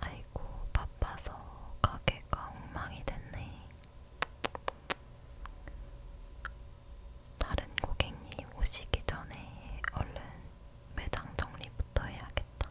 아이고, 바빠서 가게가 엉망이 됐네. 다른 고객님 오시기 전에 얼른 매장 정리부터 해야겠다.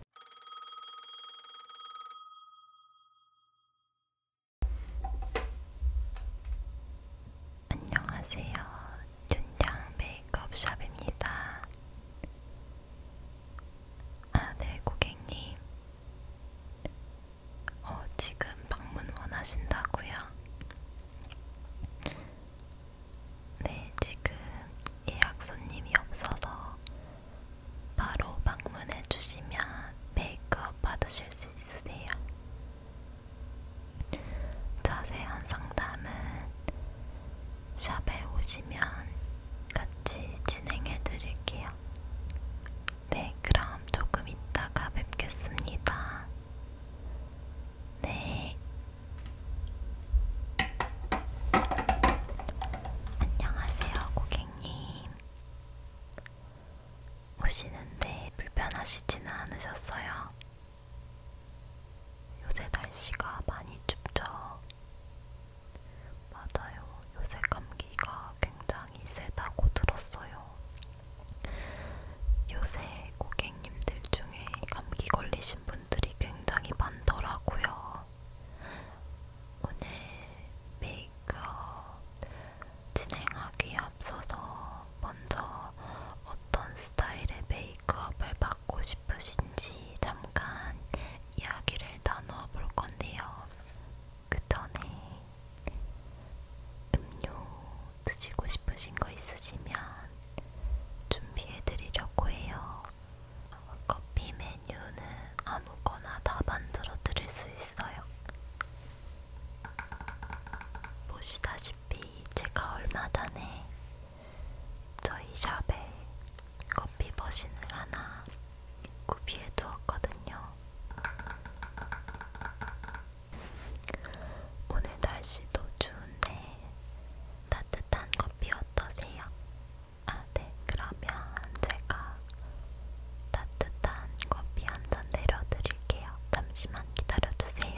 안녕하세요. 준장 메이크업샵입니다. 아, 네, 고객님. 어, 지금 방문 원하신다고요? 네, 지금 예약 손님이 없어서 바로 방문해 주시면 메이크업 받으실 수 있으세요. 자세한 상담은 샵에 오시면 같이 진행해 드릴게요. 네, 그럼 조금 있다가 뵙겠습니다. 네, 안녕하세요, 고객님. 오시는데 불편하시지는 않으셨어요? 요새 날씨가 많이 춥죠? 맞아요. 요새 감기가 굉장히 세다고 들었어요. 요새 고객님들 중에 감기 걸리신 분 분들이 굉장히 많더라고요. 오늘 메이크업 진행하기에 앞서서 먼저 어떤 스타일의 메이크업을 받고 싶으신지 잠깐 이야기를 나누어 볼 건데요. 그 전에 음료 드시고 싶으신 거 있으시면 준비해 드리려고 해요. 커피 메뉴는 아무거나 다 만들어 드릴 수 있어요. 보시다시피 제가 얼마 전에 저희 샵에 커피 머신을 하나 구비해 두었거든요. 오늘 날씨도 추운데 따뜻한 커피 어떠세요? 아, 네. 그러면 제가 따뜻한 커피 한잔 내려드릴게요. 잠시만 기다려주세요.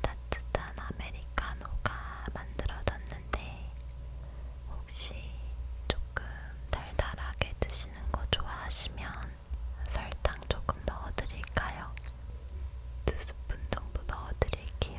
따뜻한 아메리카노가 만들어졌는데 혹시 조금 달달하게 드시는 거 좋아하시면 설탕 조금 넣어드릴까요? 두 스푼 정도 넣어드릴게요. 드릴게요.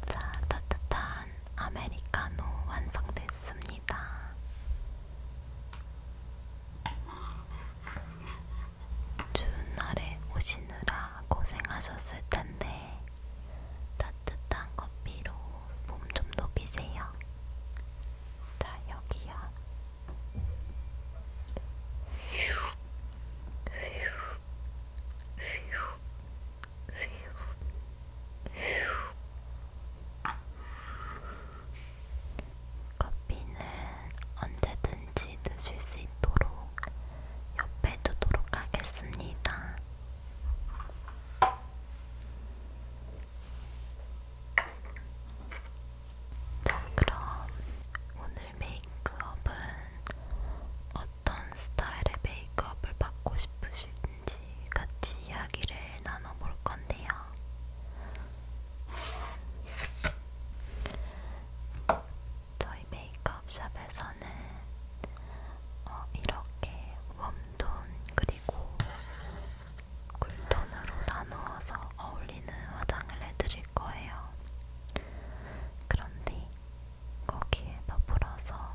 자, 따뜻한 아메리카노 완성됐습니다. 추운 날에 오시느라 고생하셨을 텐데, 따뜻한 커피로 몸 좀 녹이세요. 자, 여기야. 휴, 휴, 휴, 휴, 휴. 커피는 언제든지 드실 수 있도록 옆에 두도록 하겠습니다. 자, 그럼 오늘 메이크업은 어떤 스타일의 메이크업을 받고 싶으신지 같이 이야기를 나눠볼 건데요. 저희 메이크업 샵에서는 어, 이렇게 웜톤 그리고 쿨톤으로 나누어서 어울리는 화장을 해드릴 거예요. 그런데 거기에 더불어서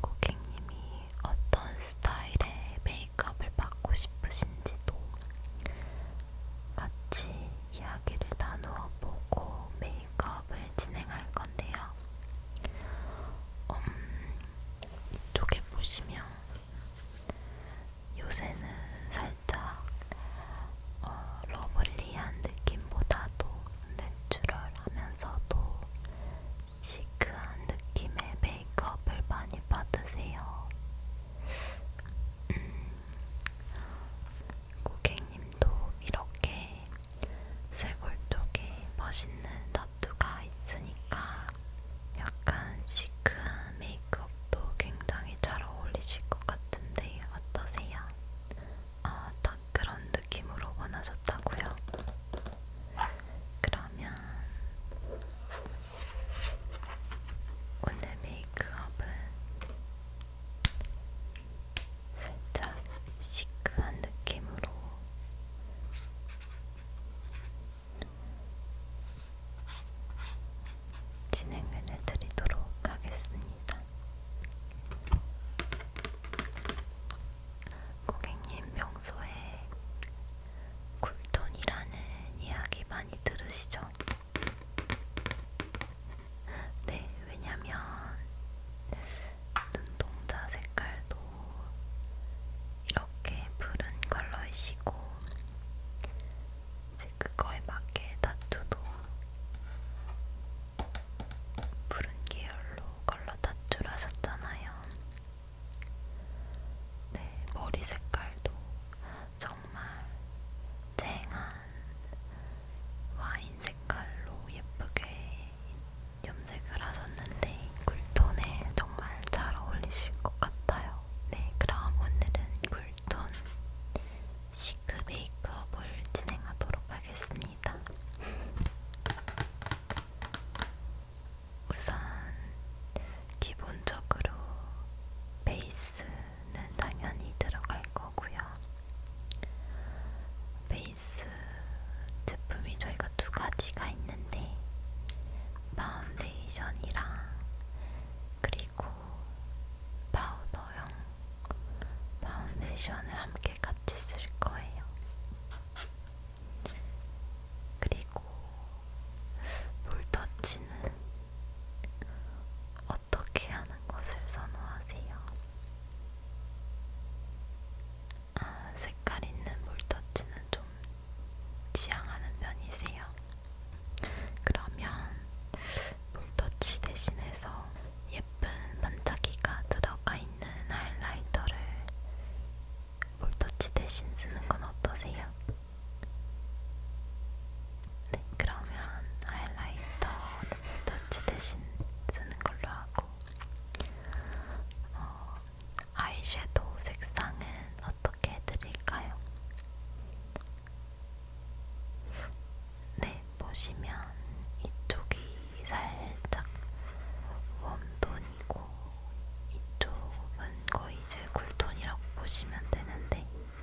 고객님이 어떤 스타일의 메이크업을 받고 싶으신지도 같이 이야기를 나누어 보고 메이크업을 진행할 건데요. 음, 이쪽에 보시면 요새는 살짝 어, 러블리한 느낌보다도 내추럴하면서도 시크한 느낌의 메이크업을 많이 받으세요. 음, 고객님도 이렇게 쇄골 쪽에 멋있는 타투가 있으니까 약간 시크한 메이크업도 굉장히 잘 어울리실 것 같은데 어떠세요? 아, 딱 그런 느낌으로 원하셨다고요? 그러면 오늘 메이크업은 살짝 시크한 느낌으로 진행을 해드리도록 하겠습니다. 고객님 평소에 굴톤이라는 이야기 많이 들으시죠? 네, 왜냐면 눈동자 색깔도 이렇게 푸른 컬러이시고 이제 그거에 맞게 타투도 푸른 계열로 컬러 타투를 하셨잖아요. 네, 머리 색깔도 정말 쨍한 와인 색깔로 예쁘게 염색을 하셨는데 쿨톤에 정말 잘 어울리실 것 같아요. 네, 그럼 오늘은 쿨톤 시크 메이크업을 진행하도록 하겠습니다. 우선 기본적으로 베이스는 당연히 들어갈 거고요. 베이스 제품이 저희가 두 가지가 있는데 파운데이션이랑 그리고 파우더형 파운데이션을 함께 같이 쓸 거예요. 그리고 물터치는 어떻게 하는 것을 선호하세요? 아, 색깔 있는 물터치는 좀 지향하는 편이세요. 그러면 물터치 대신해서 예쁜 반짝이가 들어가 있는 하이라이터를 물터치 대신 쓰는 건 어떠세요? 네, 그러면 하이라이터를 물터치 대신 쓰는 걸로 하고 어, 아이섀도우 색상은 어떻게 해드릴까요? 네, 보시면 이쪽이 살짝 웜톤이고 이쪽은 거의 이제 쿨톤이라고 보시면 되는데 음,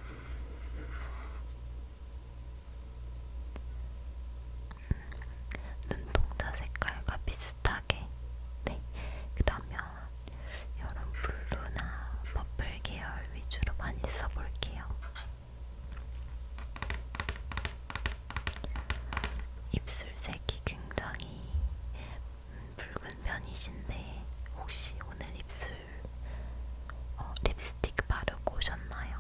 눈동자 색깔과 비슷 비슷하게 네 그러면 이런 블루나 퍼플 계열 위주로 많이 써볼게요. 입술색이 굉장히 붉은 편이신데 혹시 오늘 입술 어, 립스틱 바르고 오셨나요?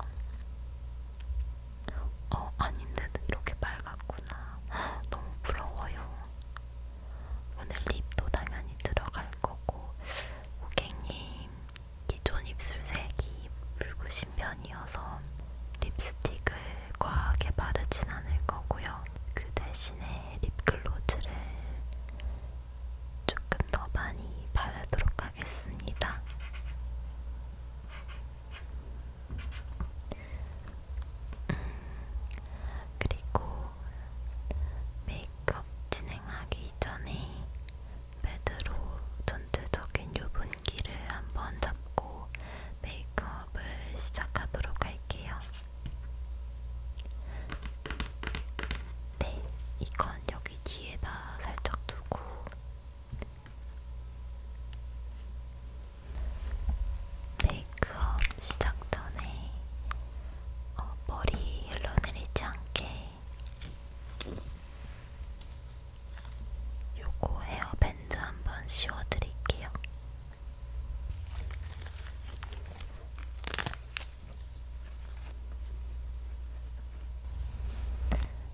어 아닌데 이렇게 빨갛구나. 너무 부러워요. 오늘 립도 당연히 들어갈 거고 고객님 기존 입술색이 붉으신 편이어서 립스틱을 과하게 바르진 않을 거고요. 그 대신에 립글로즈를 조금 더 많이 바르도록 하겠습니다. 음, 그리고 메이크업 진행하기 전에 패드로 전체적인 유분기를 한번 잡고 메이크업을 시작하도록 할게요. 네, 이건 여기 뒤에다 살짝 두고 메이크업 시작 전에 어, 머리 흘러내리지 않게 요거 헤어밴드 한번 씌워드릴게요.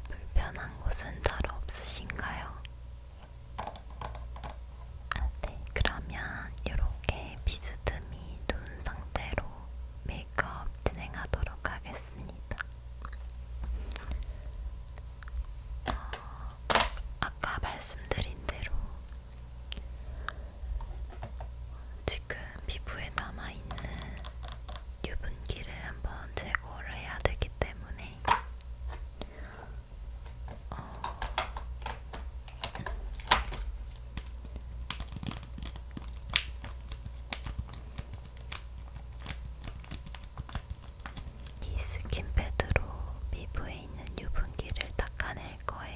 불편한 곳은 따로 없으신가요? 아, 네. 그러면 이렇게 비스듬히 눈 상태로 메이크업 진행하도록 하겠습니다. 어, 아까 말씀드린 대로 지금 피부에 남아있는 유분기를 한번 제거를 해야 되기 때문에 어... 이 스킨패드로 피부에 있는 유분기를 닦아낼 거예요.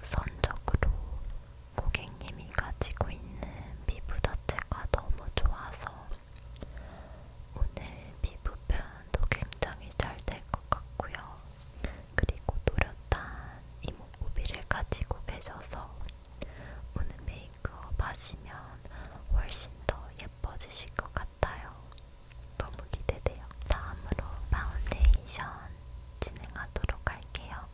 우선적으로 고객님이 가지고 있는 피부 자체가 너무 좋아서 오늘 피부 표현도 굉장히 잘 될 것 같고요. 그리고 노렸단 이목구비를 가지고 계셔서 오늘 메이크업 하시면 훨씬 더 예뻐지실 것 같아요. 너무 기대돼요. 다음으로 파운데이션 진행하도록 할게요.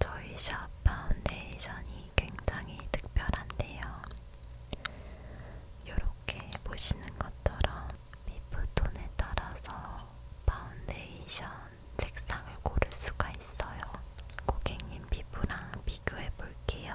저희 샵 파운데이션이 굉장히 특별한데요. 이렇게 보시는 것처럼 피부톤에 따라서 파운데이션 색상을 고를 수가 있어요. 고객님 피부랑 비교해 볼게요.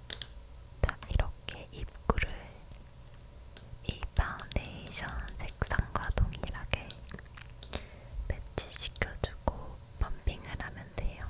자, 이렇게 입구를 이 파운데이션 색상과 동일하게 매치시켜주고 펌핑을 하면 돼요.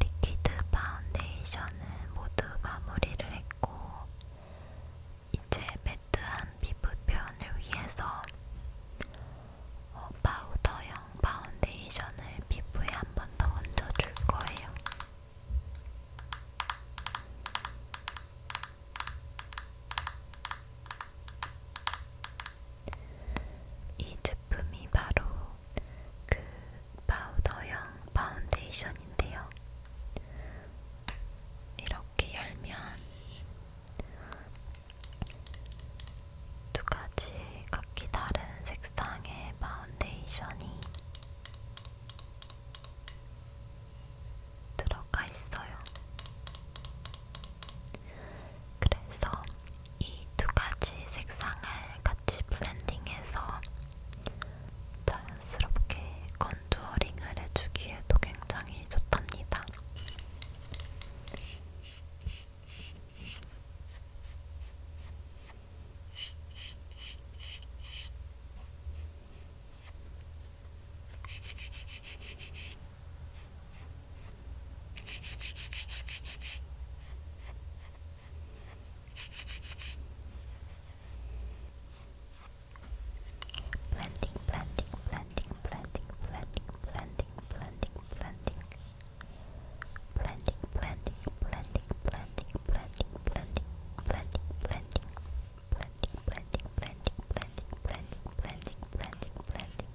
리퀴드 파운데이션은 모두 마무리를 했고, 이제 매트한 피부 표현을 위해서 어, 파우더형 파운데이션을 피부에 한 번 더 얹어줄 거예요. 이 제품이 바로 그 파우더형 파운데이션인데요. 이렇게 열면 두 가지 각기 다른 색상의 파운데이션이 들어가 있어요. 그래서 이 두 가지 색상을 같이 블렌딩해서 자연스럽게 컨투어링을 해주기에도 굉장히 좋답니다. Blending, blending, blending, blending, blending, blending, blending, blending. Blending, blending, blending, blending, blending, blending, blending, blending. Blending, blending, blending, blending, blending, blending, blending, blending.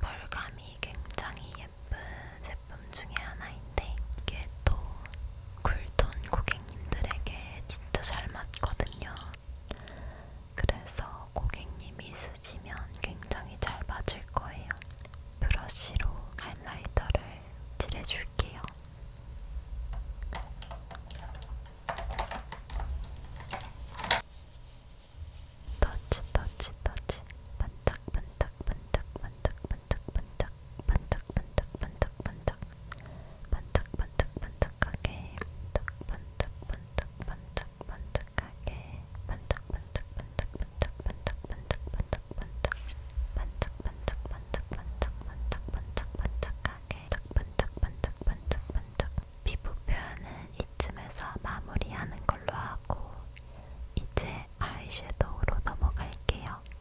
벌감이 굉장히 예쁜 제품 중에 하나인데 이게 또 쿨톤 고객님들에게 진짜 잘 맞거든요. 그래서 고객님이 쓰시면 굉장히 잘 맞을 거예요. 브러쉬로 하이라이터를 칠해줄게요. 터치 터치 터치 반짝반짝 반짝 반짝 반짝 반짝 반짝반짝반짝반짝 반짝반짝반짝하게 반짝반짝반짝반짝반짝하게 반짝반짝반짝반짝반짝반짝반짝반짝 반짝반짝반짝반짝반짝반짝반짝하게 반짝반짝반짝반짝반짝 피부 표현은 이쯤에서 마무리하는 걸로 하고 이제 아이섀도우로 넘어갈게요.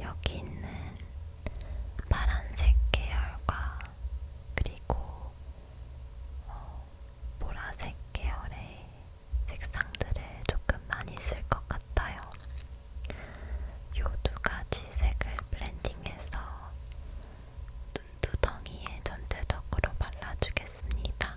여기 있는 파란색 계열과 그리고 어, 보라색 계열의 색상들을 조금 많이 쓸 것 같아요. 요 두 가지 색을 블렌딩해서 눈두덩이에 전체적으로 발라주겠습니다.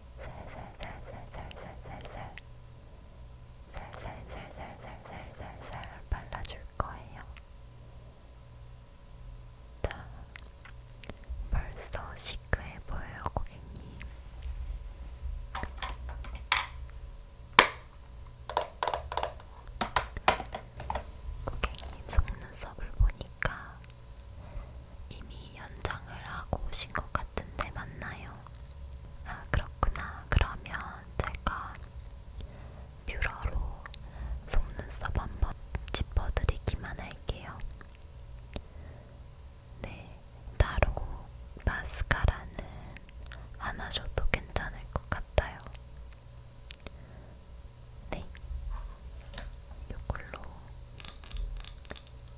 살살살살살살살살 살살살살살살살 발라줄 거예요. 자, 벌써 시크해 보여요, 고객님. 고객님 속눈썹을 보니까 이미 연장을 하고 오신 것 같은데 맞나요? 아 그렇구나. 그러면 제가 뷰러로 속눈썹 한번 짚어드리기만 할게요. 네, 따로 마스카라는 안 하셔도 괜찮을 것 같아요. 네, 요걸로 이렇게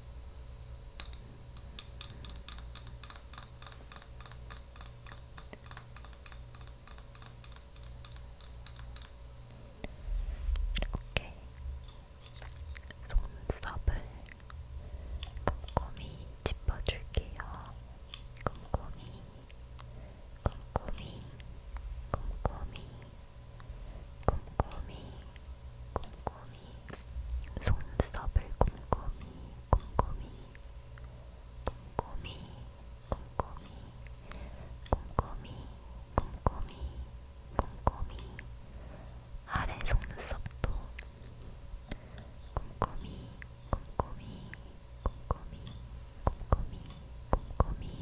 속눈썹을 꼼꼼히 짚어줄게요. 꼼꼼히, 꼼꼼히, 꼼꼼히, 꼼꼼히 꼼꼼히 속눈썹을 꼼꼼히 꼼꼼히 꼼꼼히 꼼꼼히 꼼꼼히 꼼꼼히 꼼꼼히 아래 속눈썹도 꼼꼼히 꼼꼼히 꼼꼼히 꼼꼼히 꼼꼼히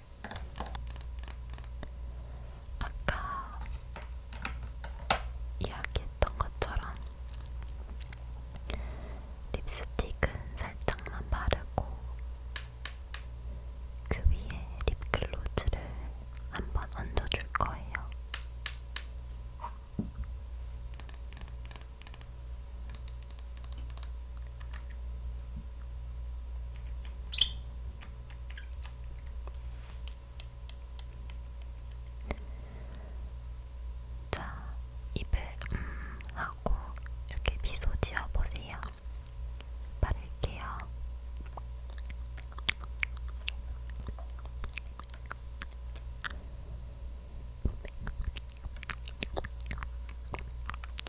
아까 이야기했던 것처럼 립스틱은 살짝만 바르고 그 위에 립글로즈를 한번 얹어줄 거예요. 자, 입을 음 하고 이렇게 미소 지어 보세요. 바를게요.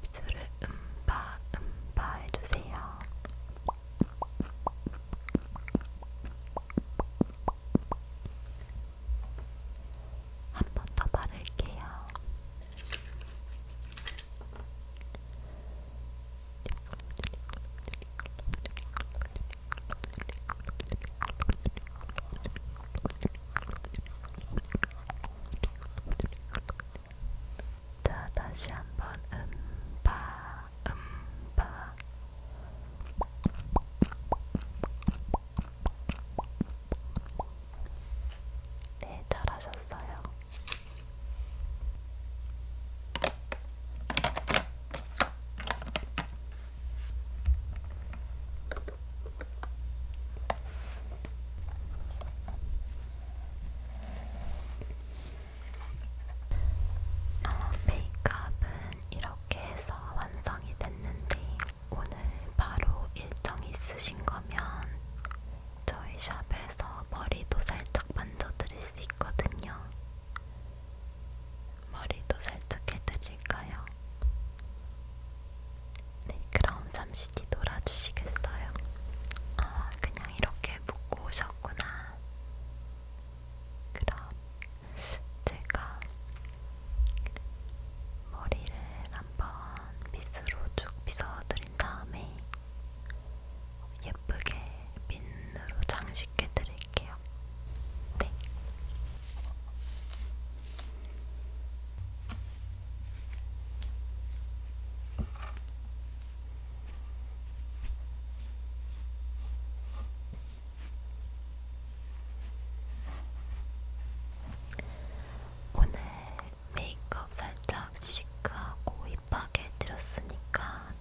입술을 음바 음바 해주세요. 한 번 더 바를게요. 자, 다시 한 번 음바 음바 네, 잘하셨어요. 아, 메이크업은 이렇게 해서 완성이 됐는데 오늘 바로 일정이 있으신 거면 저희 샵에서 머리도 살짝 만져드릴 수 있거든요. 머리도 살짝 해드릴까요? 네, 그럼 잠시 뒤돌아주시겠어요? 아, 그냥 이렇게 묶고 오셨구나. 그럼 제가 머리를 한번 빗으로 쭉 빗어드린 다음에 예쁘게 핀으로 장식해 드릴게요. 네. 오늘 메이크업 살짝 시크하고 힙하게 해드렸으니까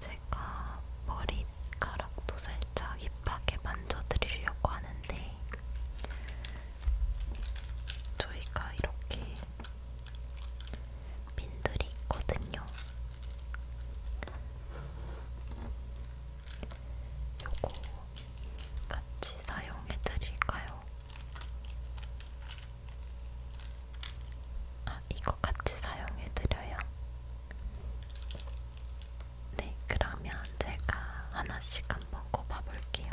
제가 머리카락도 살짝 힙하게 만져드리려고 하는데 저희가 이렇게 핀들이 있거든요. 요거 같이 사용해 드릴까요? 아, 이거 같이 사용해 드려요? 네, 그러면 제가 하나씩 한번 꼽아 볼게요.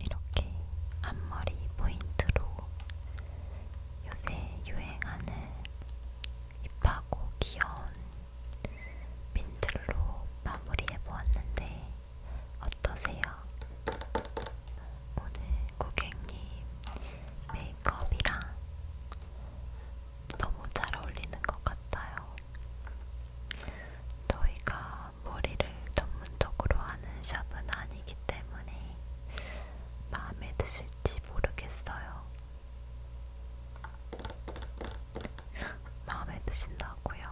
이렇게 앞머리 포인트로 요새 유행하는 힙하고 귀여운 민들로 마무리해보았는데 어떠세요? 오늘 고객님 메이크업이랑 너무 잘 어울리는 것 같아요. 저희가 머리를 전문적으로 하는 샵은 아니기 때문에 마음에 드실지 모르겠어요. 마음에 드신다고요?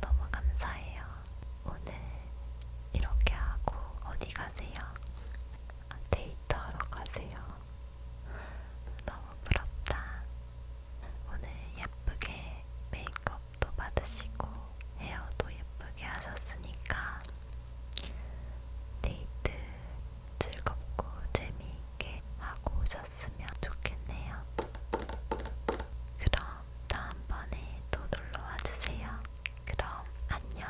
너무 감사해요. 오늘 이렇게 하고 어디 가세요? 아, 데이트하러 가세요. 너무 부럽다. 오늘 예쁘게 메이크업도 받으시고 헤어도 예쁘게 하셨으니까 데이트 즐겁고 재미있게 하고 오셨으면 좋겠네요. 그럼 다음번에 또 놀러와 주세요. 그럼 안녕.